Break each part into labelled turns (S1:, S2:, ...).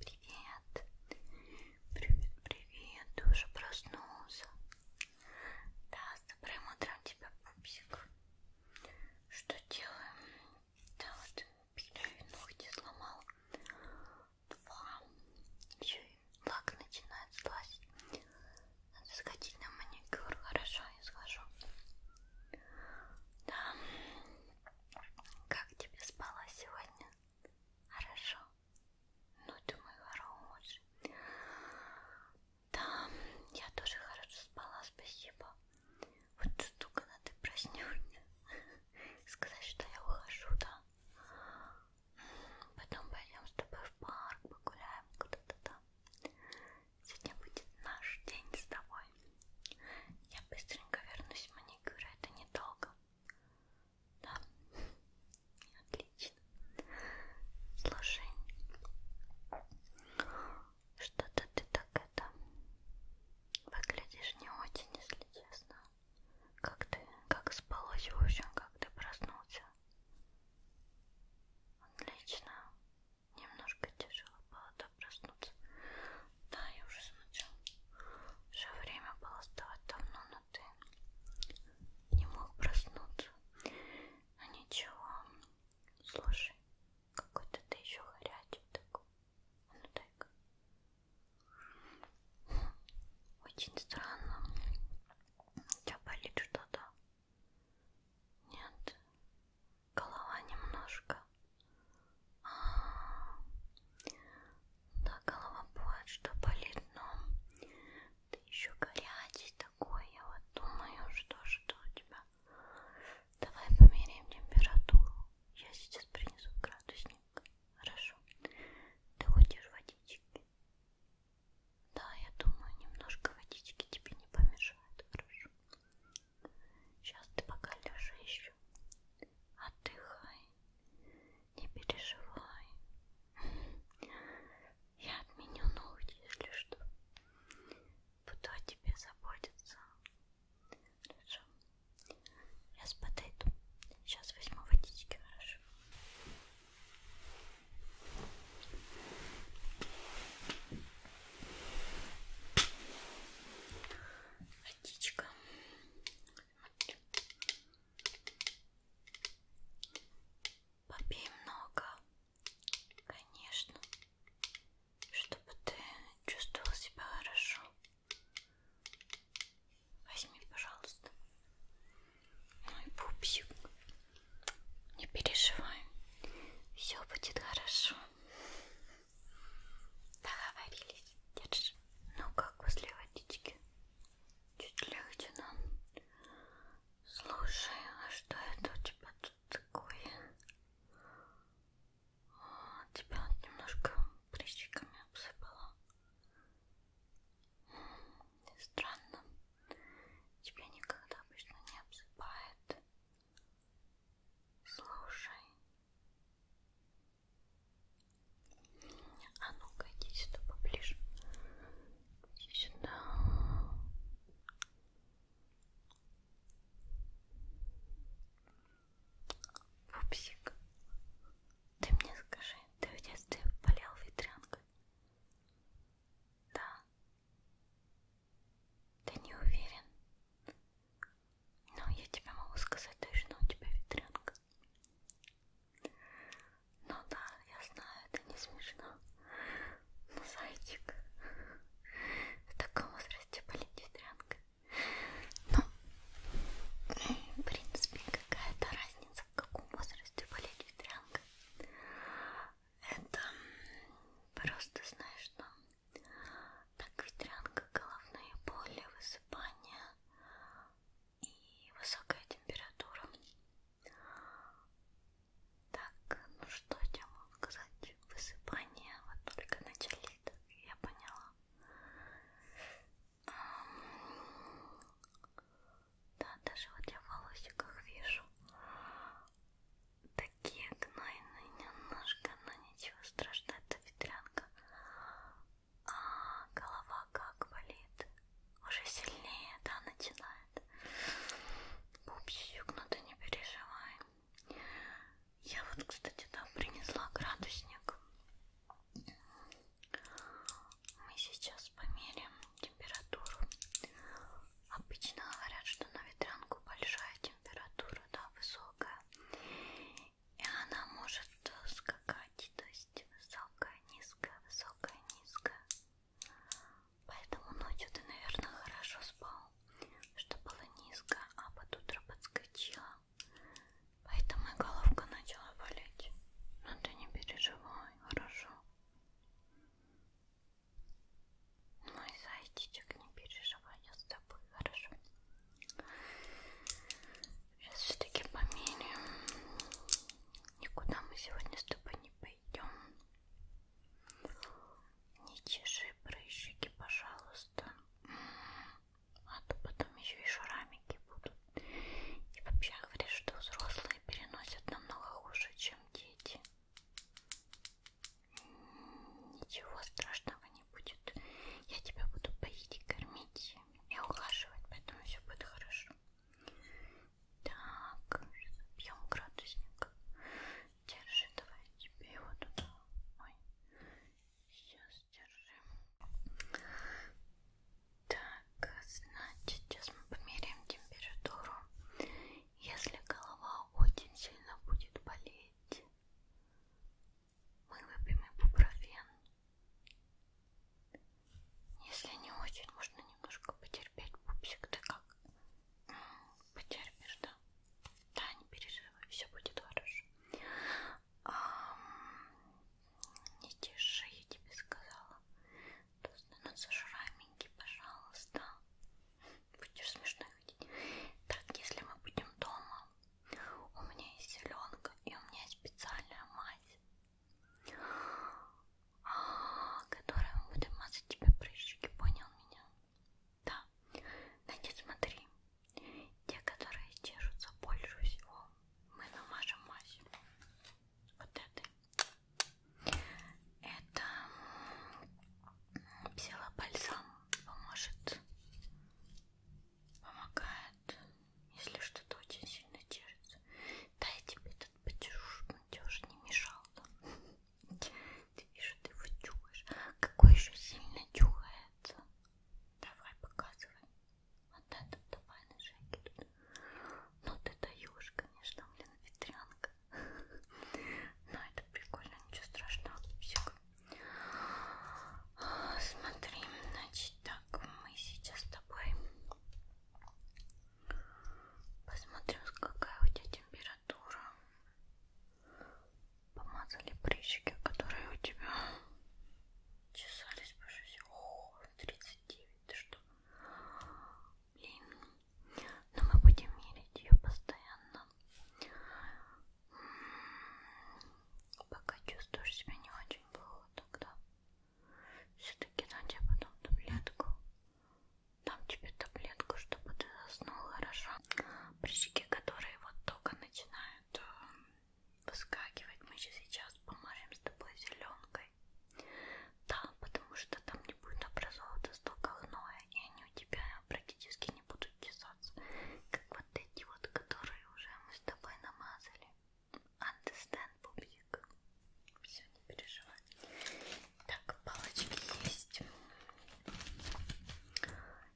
S1: Привет, привет, привет, ты уже проснулся? Да, с добрым утром тебя, пупсик. Что делаем? Да, вот пилю ногти сломал. Два. Еще лак начинает слазить. Надо сходить на маникюр. Хорошо, я схожу. Да. Как тебе спала сегодня? Хорошо. Ну ты мой хороший. Да, я тоже хорошо спала, спасибо. Вот тут, когда ты проснешься, сказать, что я ухожу, да? Потом пойдем с тобой в парк, погуляем куда-то там. Сегодня будет наш день с тобой. Я быстренько вернусь в маникюр, это недолго. Да? Отлично. Слушай, что-то ты так это выглядишь не очень, если честно. Как ты, как спалось, в общем, как ты проснулся? Отлично. Немножко тяжело было да, проснуться. Да, я уже смотрю. Уже время было вставать давно, но ты не мог проснуться. Но а ничего. Слушай, какой-то ты еще горячий такой. А ну так. Очень странно. У тебя болит что-то? Нет? Голова немножко? А -а -а. Да, голова бывает, что болит, но ты еще горячий такой, я вот думаю, что что у тебя. Давай померяем температуру. Я сейчас принесу градусник. Хорошо. Ты хочешь водички? Да, я думаю, немножко водички тебе не помешает, хорошо. Сейчас ты пока лежи еще. Отдыхай. Не переживай. Я отменю ногти, если что. Буду о тебе заботиться. Хорошо. Сейчас подойду. Сейчас возьму водички, хорошо. Водичка. Попей много, конечно, чтобы ты чувствовал себя хорошо. Возьми, пожалуйста. Мой ну пупсик. Не переживай. Все будет хорошо. Договорились. Держи. Ну как после водички? Чуть легче нам. Слушай, а что это у тебя тут такое? А, тебя немножко прыщиками обсыпала. Странно. Тебя никогда обычно не обсыпает. Слушай. А ну-ка, иди сюда поближе. Иди сюда. Пупсик. Ты мне скажи, ты в детстве болел ветрянкой? Да. Ты не уверен? Но ну, я тебе могу сказать точно, у тебя ветрянка. Ну да, я знаю, это не смешно. Но зайчик, в таком возрасте болеть ветрянкой. Но, ну, в принципе, какая-то разница, в каком возрасте болеть ветрянкой. Это просто, знаешь, что ну, так ветрянка, головные боли, высыпания и высокая температура. Так, ну что я тебе могу сказать? Высыпание вот только начали, так я поняла. Да, даже вот я в волосиках вижу такие гнойные немножко, но ничего страшного, это ветрянка. А голова как болит, уже сильнее, да, начинает. Пупсик, но ты не переживай. Я вот, кстати, да, принесла градусник. Мы сейчас померим температуру. Обычно говорят, что на ветрянку большая температура, да, высокая. И она может скакать, то есть высокая, низкая, высокая, низкая. Поэтому ночью ты, наверное, хорошо спал, что было низко, а под утро подскочила. Поэтому и головка начала болеть. Но ты не переживай, хорошо? Мой зайчичек, не переживай, я с тобой, хорошо? Сейчас все-таки померяем. Никуда мы сегодня с тобой не пойдем. Не чеши прыщики, пожалуйста. А то потом еще и шрамики будут. И вообще говорят, что взрослые переносят намного хуже, чем дети. Ничего страшного не будет. Я тебя буду поить и кормить и ухаживать, поэтому все будет хорошо. Так, пьем градусник. Держи, давай тебе его туда. Ой. Сейчас держи. Так, значит, сейчас мы померяем температуру. Если голова очень сильно будет болеть, мы выпьем ибупрофен. Если не очень, можно немножко потерпеть пупсик. Ты как? Потерпишь, да? Да, не переживай, все будет хорошо не тише, я тебе сказала. То становится шрамики, пожалуйста. Будешь смешно ходить. Так, если мы будем дома, у меня есть зеленка и у меня есть специальная мазь, а, которая мы будем мазать тебе прыщики, понял меня? Да, но не смотри. Те, которые чешутся больше всего, мы намажем мазь. Вот этой. Это псилобальзам поможет, помогает, если что-то очень сильно чешется. Да, я тебе этот почешу, но тебе уже не мешал. Ты вижу, ты его чухаешь. Какой еще сильно чухаешь? нравится. Давай, показывай. Вот это давай на шаги тут. Ну ты даешь, конечно, блин, ветрянка. Но это прикольно, ничего страшного. Псик. Смотри, значит, так, мы сейчас с тобой посмотрим, какая у тебя температура температура. Помазали прыщики, которые у тебя чесались по жизни. О, 39, ты что? Блин. Но мы будем мерить ее постоянно. М-м-м. Пока чувствуешь себя не очень плохо, тогда все-таки дам тебе потом таблетку. Дам тебе таблетку, чтобы ты заснул хорошо прыщики, которые вот только начинают э, выскакивать, мы же сейчас помажем с тобой зеленкой. Да, потому что там не будет образовываться столько гноя, и они у тебя практически не будут чесаться, как вот эти вот, которые уже мы с тобой намазали. Understand, пупик. Все, не переживай. Так, палочки есть.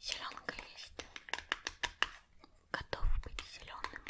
S1: Зеленка есть. Готов быть зеленым.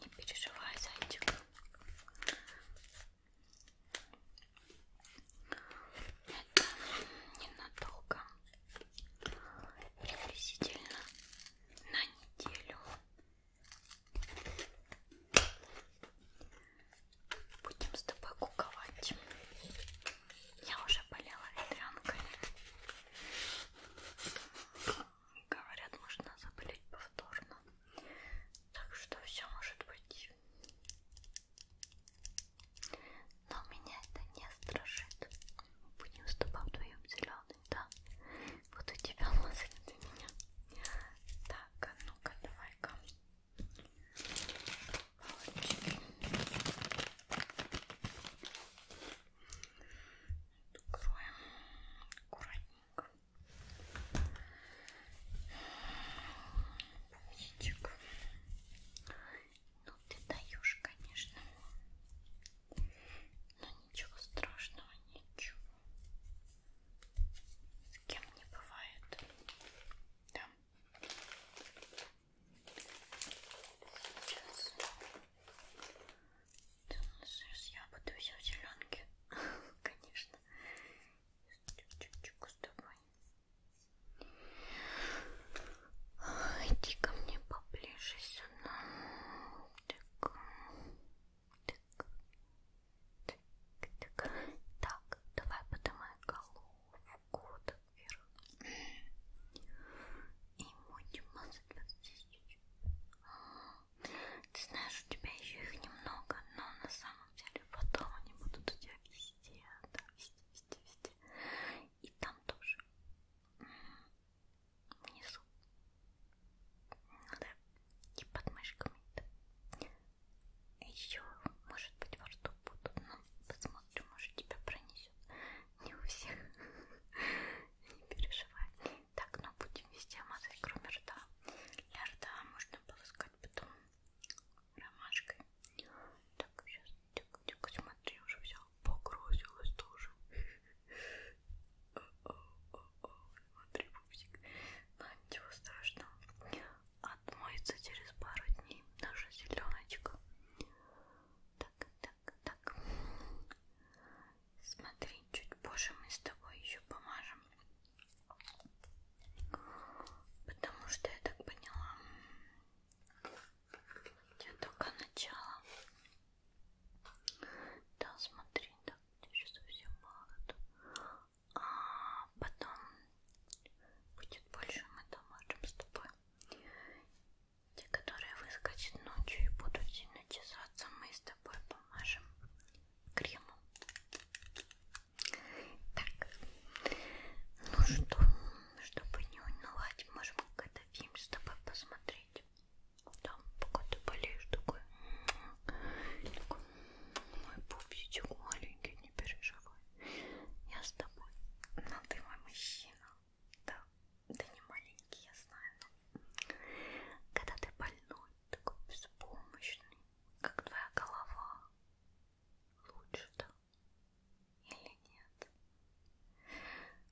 S1: Не переживай, зайчик. Это ненадолго. Приблизительно на неделю. Будем с тобой куковать. Я уже болела ветрянкой. Говорят, можно заболеть повторно. Так что все может быть. Но меня это не страшит. Будем с тобой вдвоем зеленый, да? Буду тебя лазать для меня. Так, а ну-ка, давай-ка. Молодчик. Откроем аккуратненько. Пусечек. Ну ты даешь, конечно. Но ничего страшного, ничего. С кем не бывает. Да. Сейчас. Сейчас я буду все в зеленке. Конечно. Чик-чик с тобой. Иди ко мне поближе сюда. Так. Так, так, так, давай поднимай головку вверх. И будем мазать вот здесь чуть-чуть. Ты знаешь, у тебя еще их немного, но на самом деле потом они будут у тебя везде, да, везде, везде, везде. И там тоже. Внизу. Надо и под мышками. Еще, может быть, во рту будут, но посмотрим, может тебя пронесет. Не у всех. Не переживай. Так, но ну, будем везде мазать, кроме рта. Для рта можно полоскать потом ромашкой. Так, сейчас, тихо, тихо, смотри, уже все погрузилось тоже. смотри, пупсик. Но ничего страшного. Отмоется через пару дней наша зеленочка. Так, так, так. Смотри, чуть позже мы с тобой еще помажем. Потому что я так поняла. Это только начало. Да, смотри, да. Ты еще совсем молод. А потом будет больше, мы там можем с тобой. Те, которые выскочат ночью и будут сильно чесаться, мы с тобой помажем кремом. Так, ну что, чтобы не унывать, можем какой-то фильм с тобой посмотреть. Там, пока ты болеешь, такой, такой мой пупсичек маленький, не переживай. Я с тобой. Но ну, ты мой мужчина. Да, ты не маленький, я знаю. Но... Когда ты больной, такой беспомощный, как твоя голова. Лучше да? Или нет?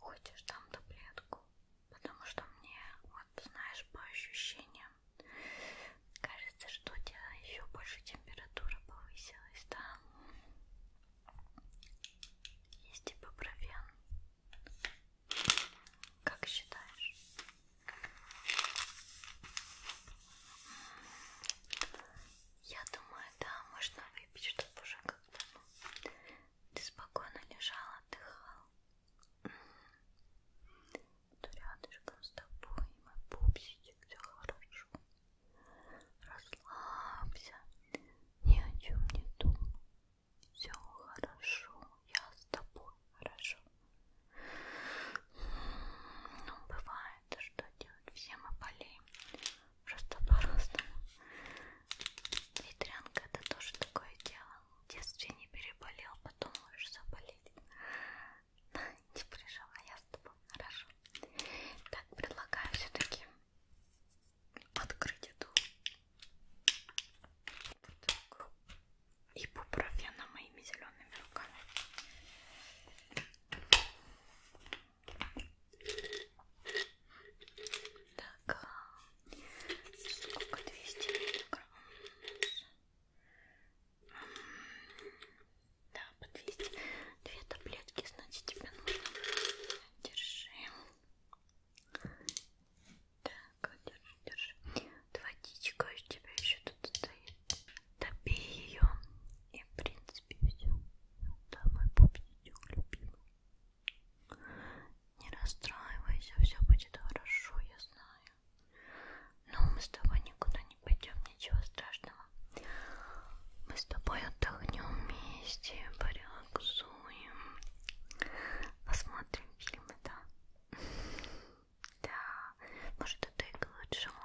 S1: Хочешь там таблетку? Потому что мне, вот знаешь, по ощущениям, кажется, что у тебя еще больше температура повысилась, да? Есть ипупрофен. Как считаешь? Я думаю, да, можно выпить, чтобы уже как-то ну, ты спокойно лежал, отдыхал. Буду рядышком с тобой, мой пупсичек, все хорошо. Расслабься, ни о чем не думай. Все хорошо, я с тобой хорошо. Ну, бывает, что делать, все мы болеем. Просто по-разному. Ветрянка это тоже такое дело в детстве не переболел, потом можешь заболеть. Не переживай, я с тобой хорошо. Так, предлагаю все-таки открыть эту бутылку и бупрофена моими зелеными руками. Так, сколько 200 миллиграмм да, по 200 две таблетки, значит тебе нужно держи так, держи, держи водичка у тебя еще тут стоит допей ее и в принципе все да, мой пупсичек любимый не расстраивайся, все будет хорошо, я знаю. Но мы с тобой никуда не пойдем, ничего страшного. Мы с тобой отдохнем вместе, порелаксуем. Посмотрим фильмы, да? Да, может это и к лучшему.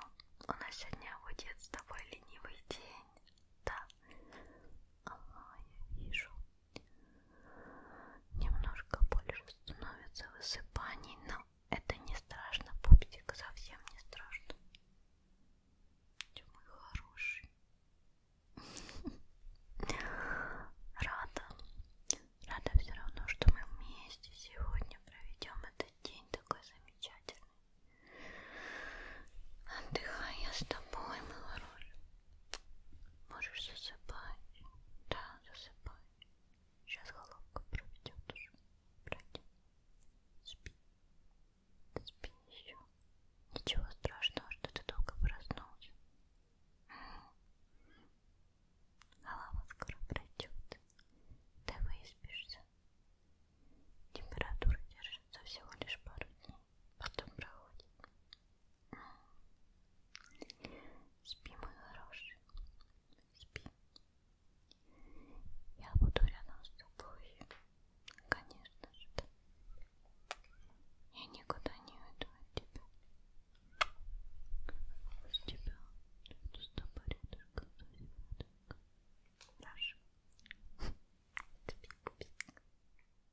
S1: У нас сегодня будет с тобой ленивый день. Да. Ага, я вижу. Немножко больше становится высыпаний, но это не страшно, пупсик, совсем не страшно. Ты мой хороший. Рада. Рада все равно, что мы вместе сегодня проведем этот день такой замечательный. Отдыхай я с тобой, мой хороший. Можешь засыпать. Да, засыпай. Сейчас головка проведет уже. Пройди. Спи. Спи еще. Ничего страшного, что ты долго проснулся. Голова скоро пройдет. Ты выспишься. Температура держится всего лишь пару дней потом проходит. Спи, мой хороший, спи. Я буду рядом с тобой, конечно же. Я никуда не уйду от тебя. С тебя буду с тобой рядышком, рядышком. Хорошо. Спи, пупик.